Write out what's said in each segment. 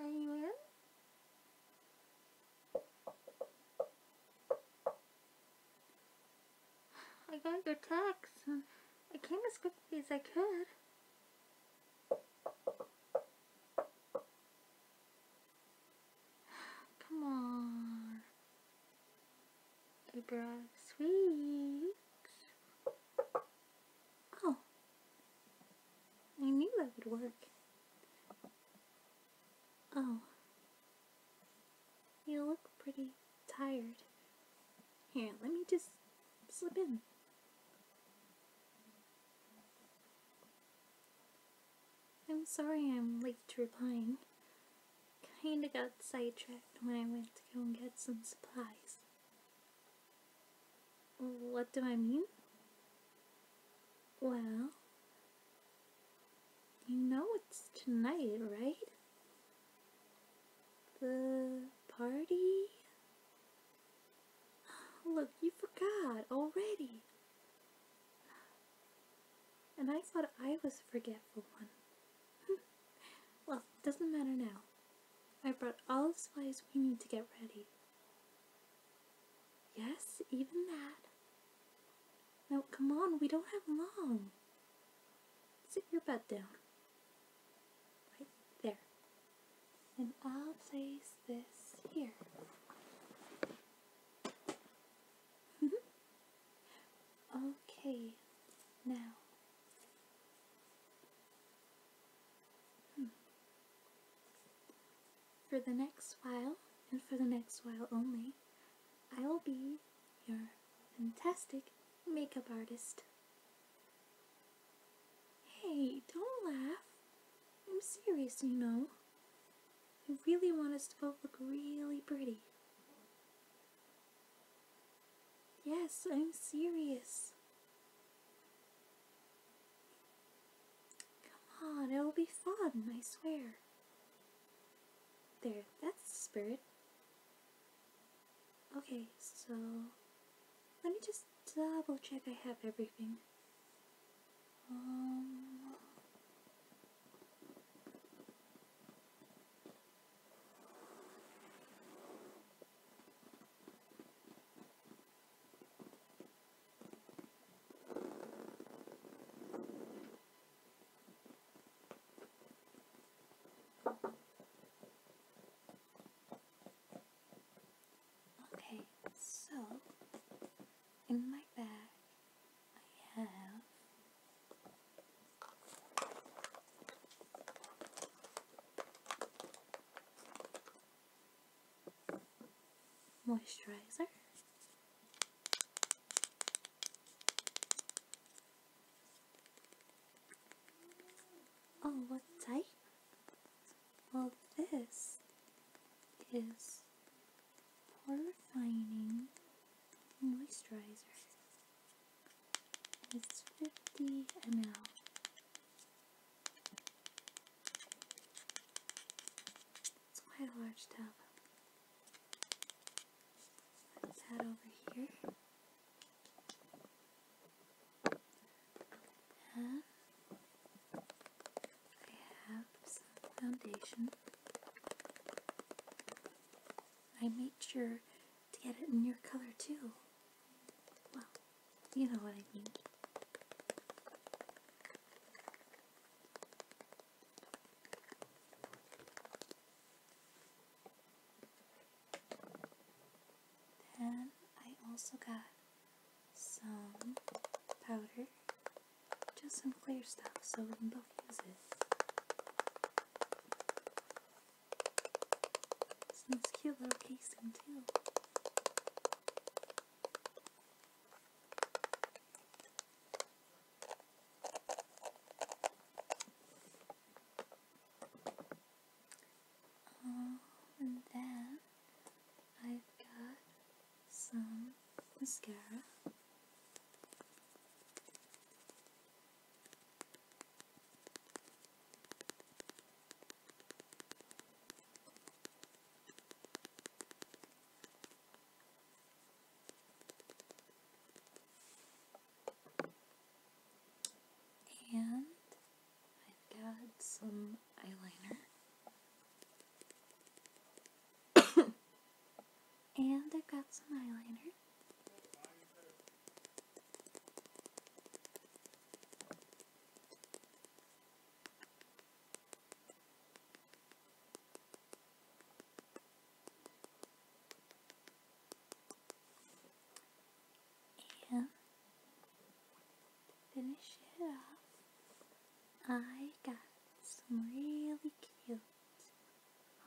Are you in? I got your text. I came as quickly as I could. Come on. I brought sweets. Oh. I knew that would work. Oh. You look pretty tired. Here, let me just slip in. I'm sorry I'm late to replying. Kinda got sidetracked when I went to go and get some supplies. What do I mean? Well, you know it's tonight, right? The party? Look, you forgot already. And I thought I was forgetful one. well, doesn't matter now. I brought all the supplies we need to get ready. Yes, even that. Now, come on, we don't have long. Sit your butt down. Right there. And I'll place this here. okay, now. Hmm. For the next while, and for the next while only, I will be your fantastic makeup artist. Hey, don't laugh. I'm serious, you know. I really want us to both look really pretty. Yes, I'm serious. Come on, it will be fun, I swear. There, that's the spirit. Okay, so let me just double check I have everything. Um, Okay, so in my bag I have moisturizer. Oh, what type? Well, this is purifying moisturizer is 50 ml. It's quite a large tub. Let's head over here. I have some foundation. I made sure to get it in your color too. Well, you know what I mean. Then I also got some powder, just some clear stuff so we can both use it's in cute little casing too. Oh, and then I've got some mascara. And I've got some eyeliner. and I've got some eyeliner. And finish it up, I got some really cute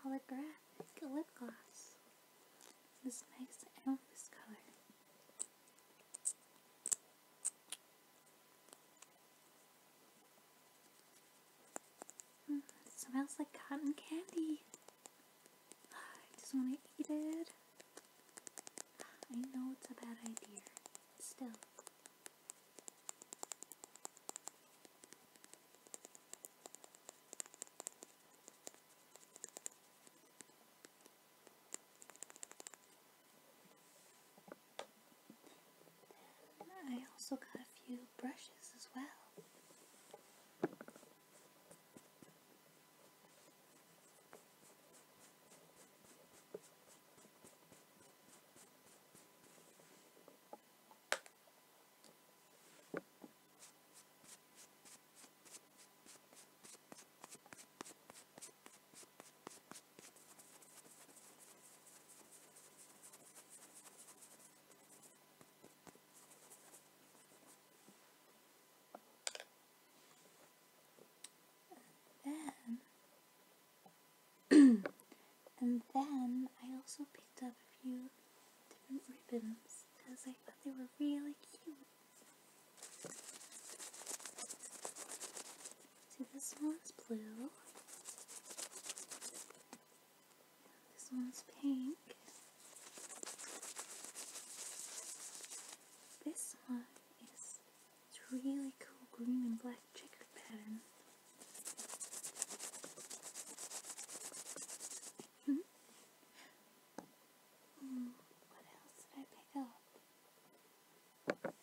holographic lip gloss. This is nice. I love this color. Hmm, smells like cotton candy. I just want to eat it. I know it's a bad idea. Still. I also got a few brushes as well. And then, and then I also picked up a few different ribbons because I thought they were really cute. See, this one's blue. This one's pink. This one is this really cool green and black checkered pattern. Hmm? Hmm, what else did I pick up?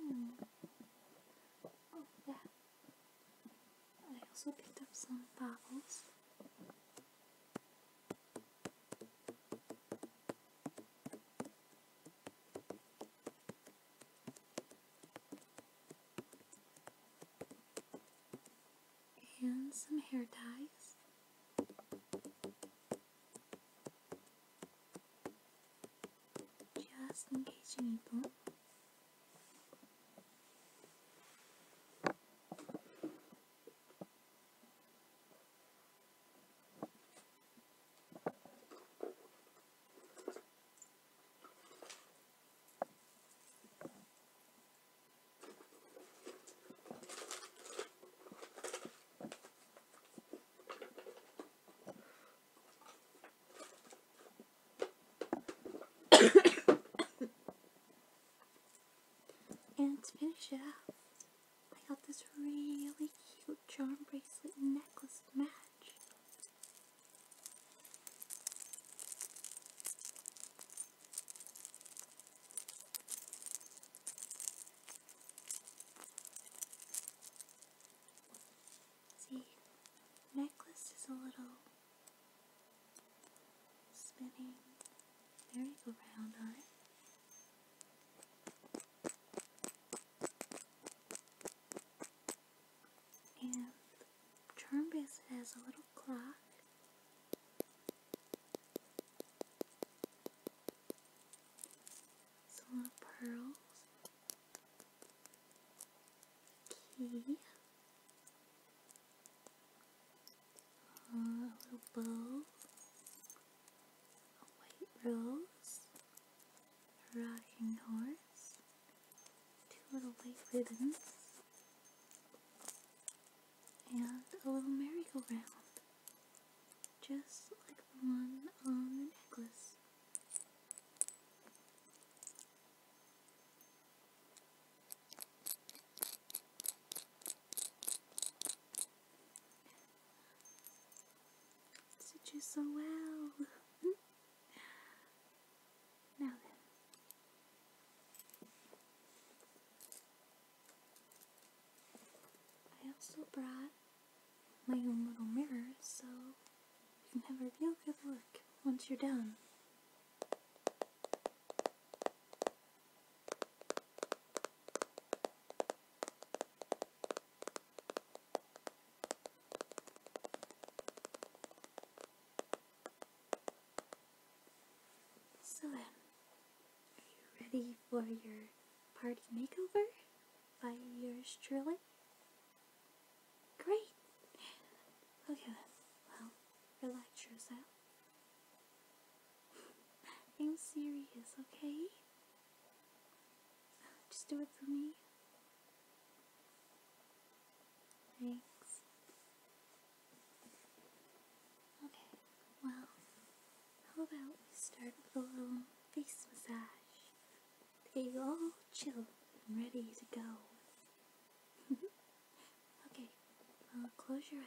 Hmm. Oh, yeah. I also picked up some bottles. And some hair ties. Just engaging people. and to finish it off, I got this really cute charm bracelet necklace match. See, necklace is a little spinning merry-go-round on it. And charm bracelet has a little clock some little pearls. Key. a uh, little bow. A white rose. A rocking horse. Two little white ribbons and a little merry-go-round, just like the one on the necklace. It so well. now then. I also brought my own little mirrors, so you can have a real good look once you're done. So are you ready for your party makeover by yours truly? Great! Okay then, well, relax yourself. I'm serious, okay? Just do it for me. Thanks. Okay. Well, how about we start with a little face massage? Get you all chilled and ready to go. okay, uh, close your eyes.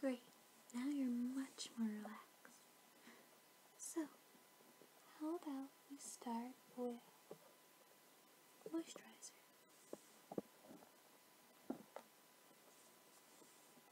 Great. Now you're much more relaxed. So, how about we start with moisturizer?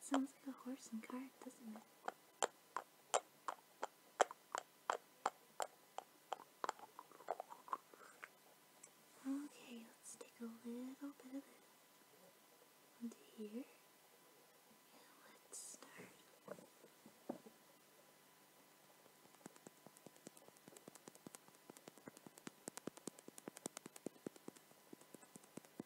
Sounds like a horse and cart, doesn't it? Okay, let's take a little bit of it onto here. let's start.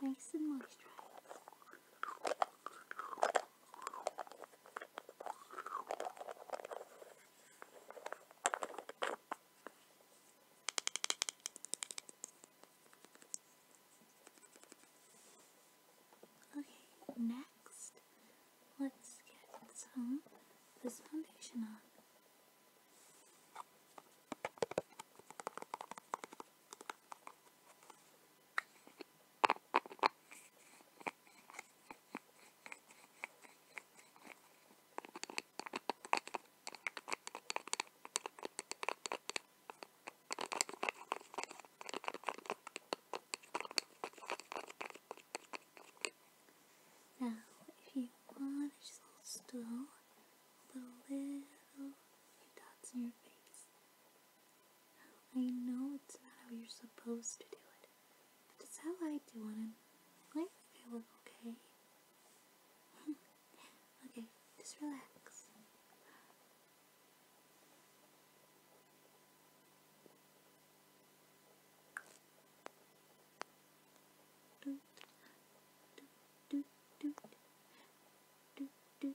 Nice and moisturized. Okay, next, let's get some this foundation on. Now, if you want, just hold still the little dots in your face. I know it's not how you're supposed to do it, but it's how I do it, and I think I okay. okay, just relax. Do, do, do, do, do, do,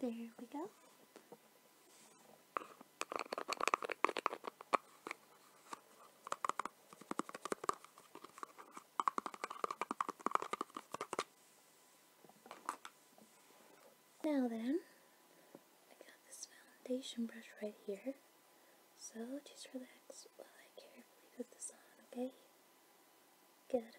There we go. Now then, I got this foundation brush right here, so just relax while I carefully put this on, okay? Good.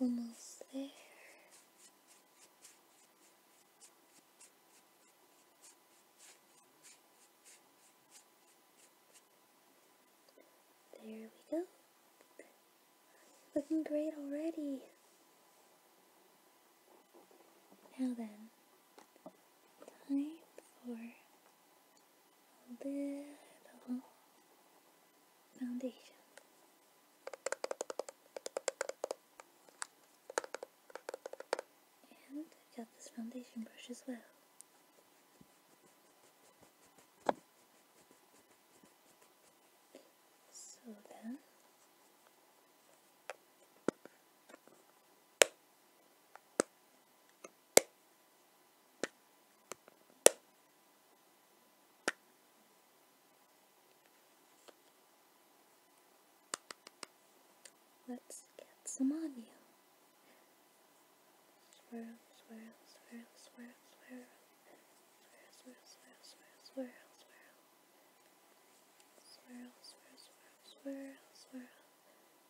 Almost there. There we go. Looking great already. Now then, time for a little foundation. And I've got this foundation brush as well. So then, Let's get some on you. Swirl, swirl, swirl, swirl, swirl. Swirl, swirl, swirl, swirl, swirl, swirl. Swirl, swirl, swirl, swirl, swirl.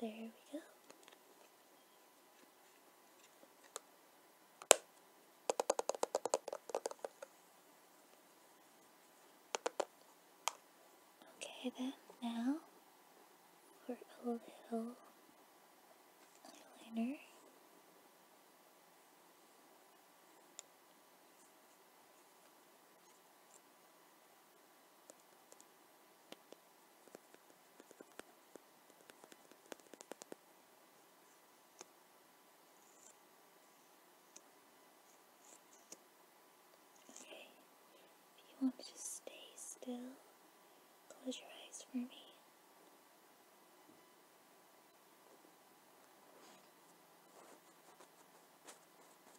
There we go. Okay then, now for a little eyeliner. Okay, if you want to stay still, close your eyes for me.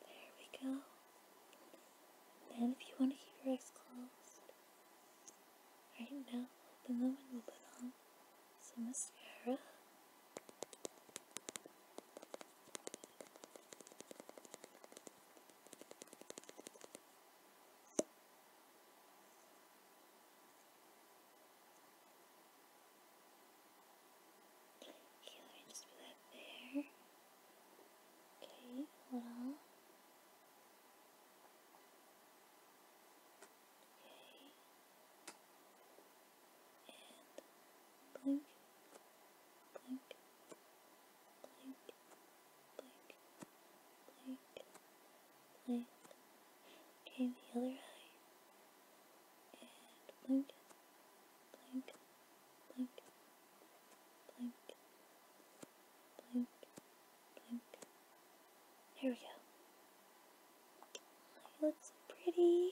There we go. And if you want to keep your eyes closed, right now open them and we'll put on some mascara. Okay, hold on. Okay. blink, blink, blink, blink, blink. Okay, the other eye and blink, blink, blink, blink, blink, blink. There we go. Looks pretty.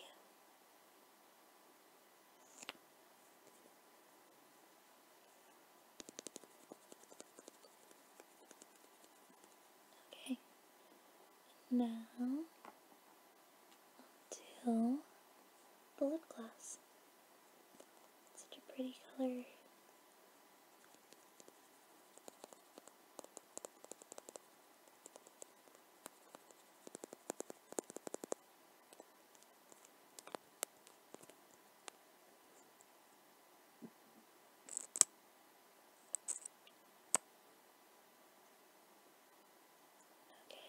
Okay. Now I'll do the lip gloss. Such a pretty color. Okay.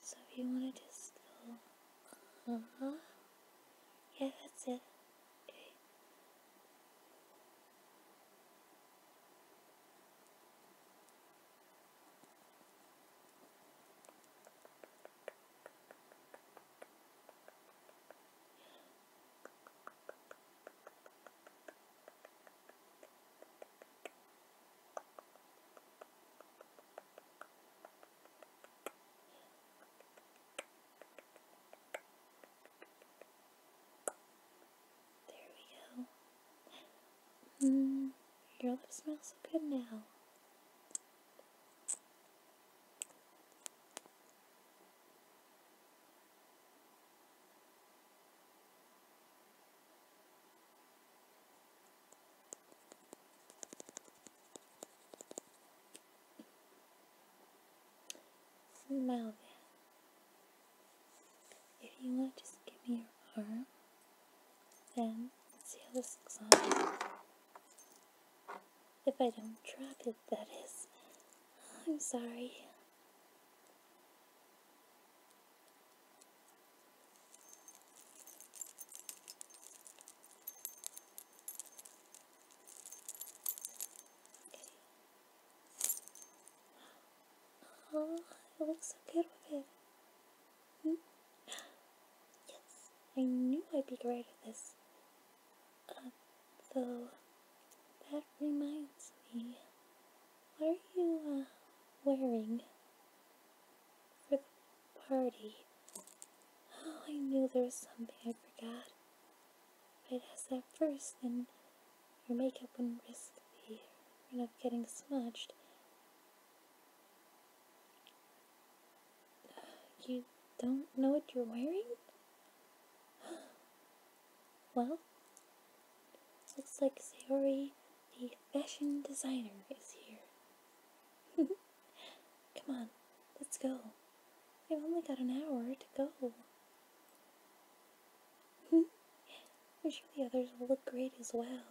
So if you want to just go, uh -huh. yeah, that's it. Okay. There we go. Mm, your lips smell so good now. Smell If you want, just give me your arm. Then let's see how this looks on. If I don't drop it, that is. I'm sorry. Okay. Oh, it looks so good with it. Hmm? Yes, I knew I'd be great at this. Uh, though, that reminds me, what are you uh, wearing for the party? Oh, I knew there was something I forgot. If I'd asked that first, then your makeup wouldn't risk You're not getting smudged. You don't know what you're wearing? Well, looks like Sayori, the fashion designer, is here. Come on, let's go. We've only got an hour to go. I'm sure the others will look great as well.